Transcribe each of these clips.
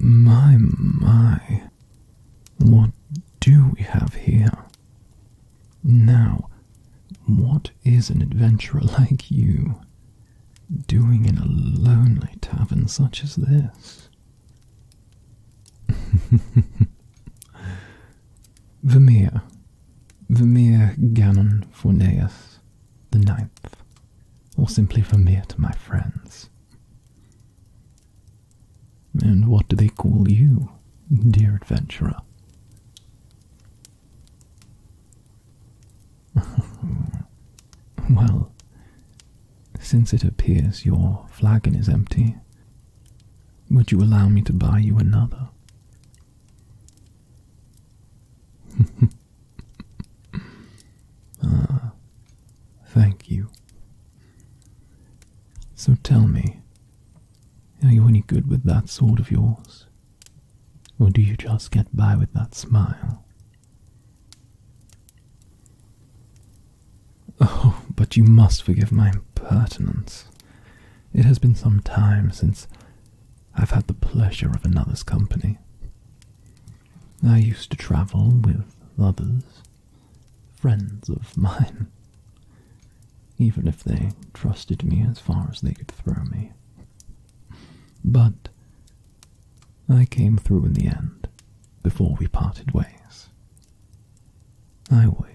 My, my, what do we have here? Now, what is an adventurer like you doing in a lonely tavern such as this? Vermeer, Vermeer Gannon Fornaeus the Ninth, or simply Vermeer to my friends. And what do they call you, dear adventurer? well, since it appears your flagon is empty, would you allow me to buy you another? ah, thank you. So tell me, are you any good with that sword of yours? Or do you just get by with that smile? Oh, but you must forgive my impertinence. It has been some time since I've had the pleasure of another's company. I used to travel with others, friends of mine, even if they trusted me as far as they could throw me. But I came through in the end, before we parted ways. I always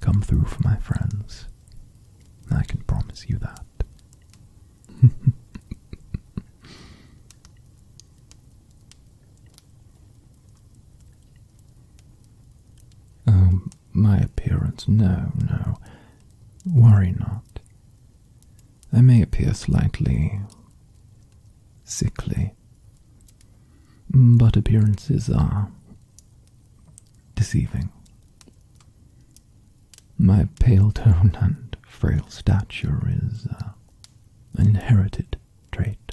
come through for my friends. I can promise you that. Oh, my appearance? No, no. Worry not. I may appear slightly sickly, but appearances are deceiving. My pale tone and frail stature is uh, an inherited trait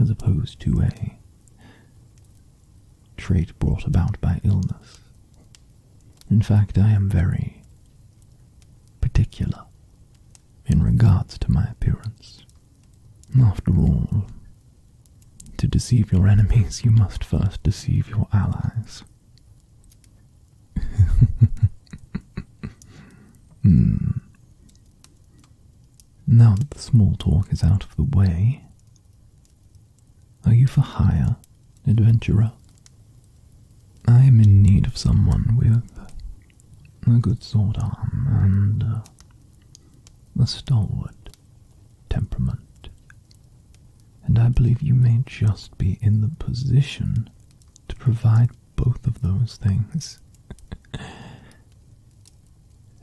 as opposed to a trait brought about by illness. In fact, I am very particular in regards to my appearance. After all, to deceive your enemies, you must first deceive your allies. Hmm. Now that the small talk is out of the way, are you for hire, adventurer? I am in need of someone with a good sword arm and uh, a stalwart temperament and I believe you may just be in the position to provide both of those things.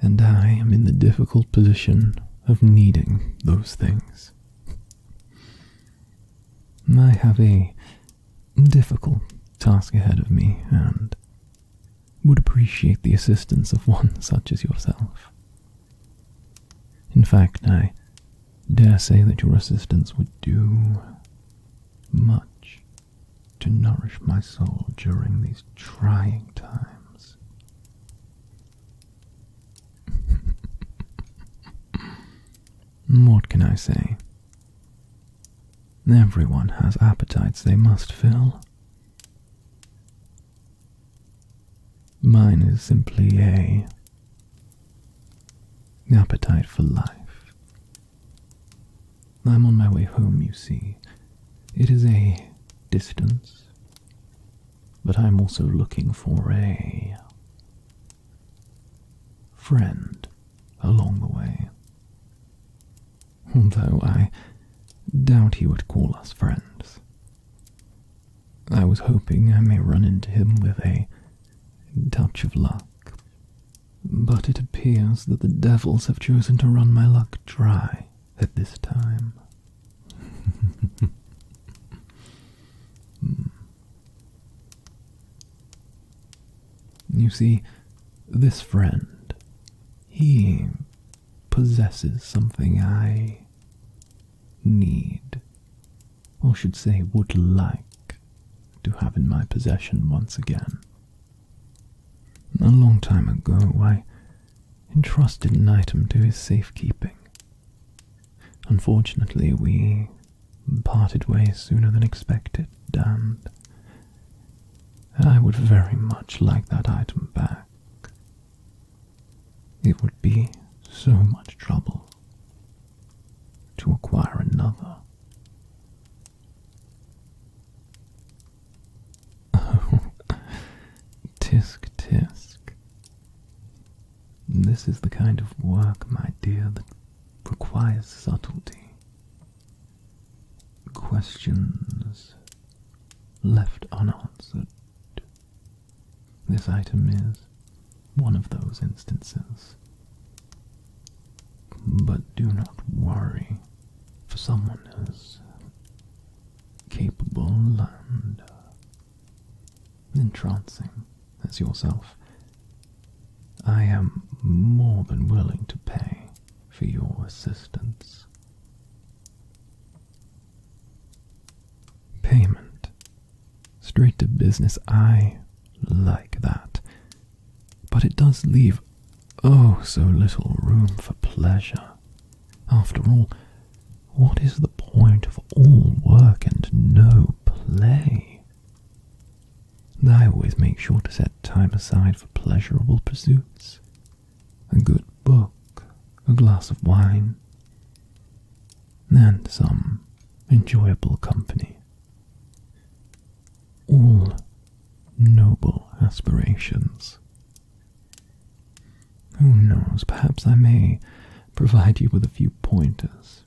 and I am in the difficult position of needing those things. I have a difficult task ahead of me and would appreciate the assistance of one such as yourself. In fact, I dare say that your assistance would do much to nourish my soul during these trying times. what can I say? Everyone has appetites they must fill. Mine is simply a appetite for life. I'm on my way home, you see. It is a distance, but I'm also looking for a friend along the way. Although I doubt he would call us friends. I was hoping I may run into him with a touch of luck. But it appears that the devils have chosen to run my luck dry at this time. you see, this friend, he possesses something I need or should say, would like to have in my possession once again. A long time ago, I entrusted an item to his safekeeping. Unfortunately, we parted ways sooner than expected, and I would very much like that item back. It would be so much trouble to acquire another. tisk tisk. This is the kind of work, my dear, that requires subtlety. Questions left unanswered this item is one of those instances. But do not worry, for someone as capable and entrancing as yourself, I am more than willing to pay for your assistance. Payment Straight to business, I like that. But it does leave oh so little room for pleasure. After all, what is the point of all work and no play? I always make sure to set time aside for pleasurable pursuits. A good book, a glass of wine, and some enjoyable company. All noble aspirations. Who knows, perhaps I may provide you with a few pointers.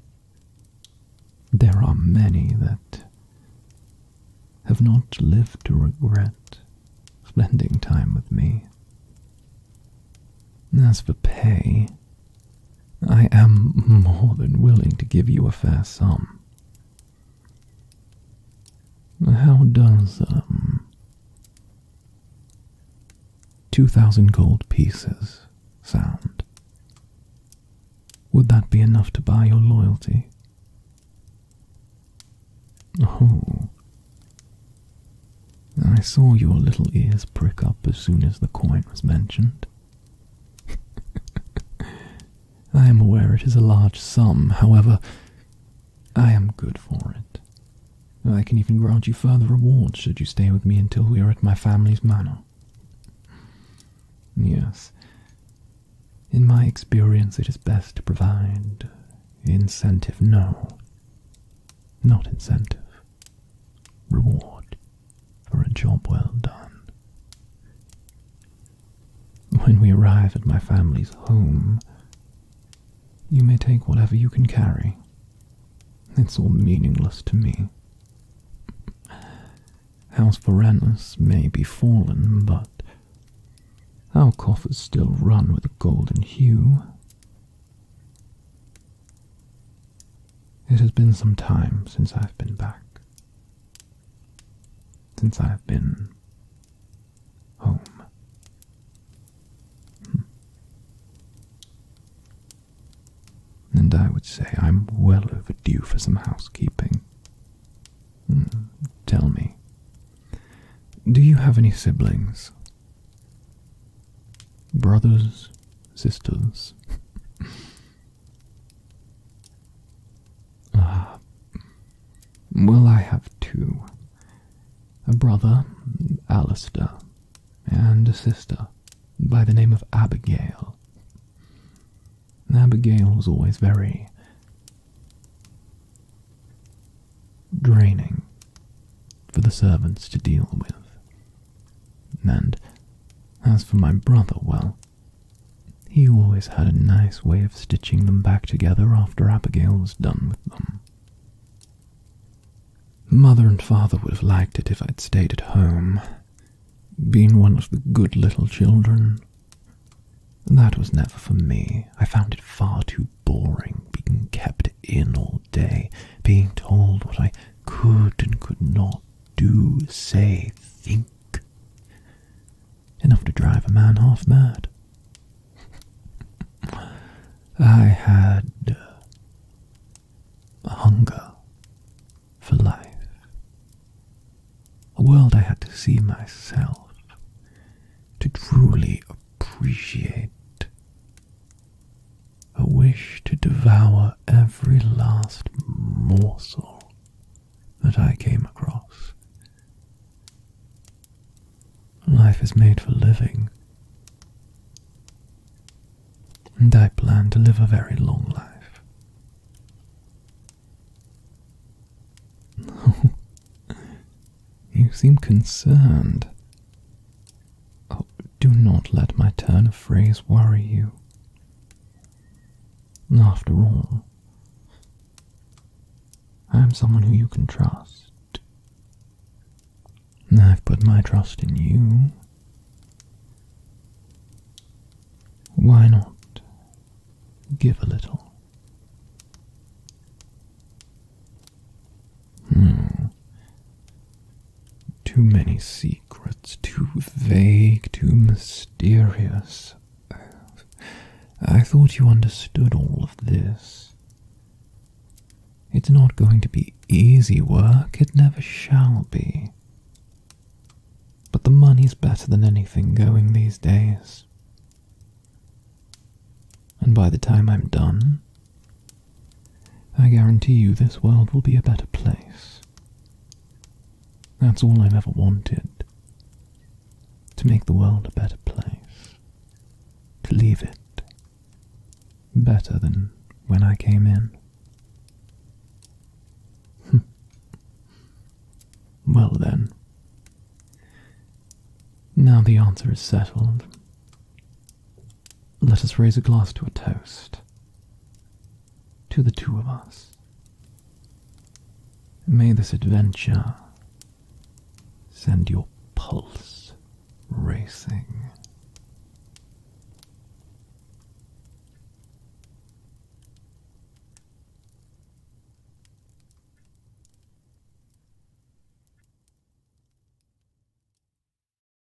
There are many that have not lived to regret spending time with me. As for pay, I am more than willing to give you a fair sum. How does, um, two thousand gold pieces sound? Would that be enough to buy your loyalty? Oh, I saw your little ears prick up as soon as the coin was mentioned. I am aware it is a large sum, however, I am good for it. I can even grant you further rewards should you stay with me until we are at my family's manor. Yes, in my experience it is best to provide incentive no not incentive, reward for a job well done. When we arrive at my family's home, you may take whatever you can carry. It's all meaningless to me. House Varanus may be fallen, but our coffers still run with a golden hue. It has been some time since I've been back. Since I've been home. Hmm. And I would say I'm well overdue for some housekeeping. Hmm. Tell me, do you have any siblings? brothers, sisters. ah. Well, I have two a brother, Alister, and a sister by the name of Abigail. Abigail was always very draining for the servants to deal with. And as for my brother, well, he always had a nice way of stitching them back together after Abigail was done with them. Mother and father would have liked it if I'd stayed at home, been one of the good little children. That was never for me. I found it far too boring being kept in all day, being told what I could and could not do, say, think. Enough to drive a man half mad. I had uh, a hunger for life, a world I had to see myself, to truly appreciate a wish to devour every last morsel that I came across. Life is made for living, and I plan to live a very long life. you seem concerned. Oh, do not let my turn of phrase worry you. After all, I am someone who you can trust. I've put my trust in you. Why not give a little? Hmm. Too many secrets, too vague, too mysterious. I thought you understood all of this. It's not going to be easy work, it never shall be. But the money's better than anything going these days. And by the time I'm done, I guarantee you this world will be a better place. That's all I've ever wanted. To make the world a better place. To leave it better than when I came in. Hmm. well then. Now the answer is settled. Let us raise a glass to a toast. To the two of us. May this adventure send your pulse racing.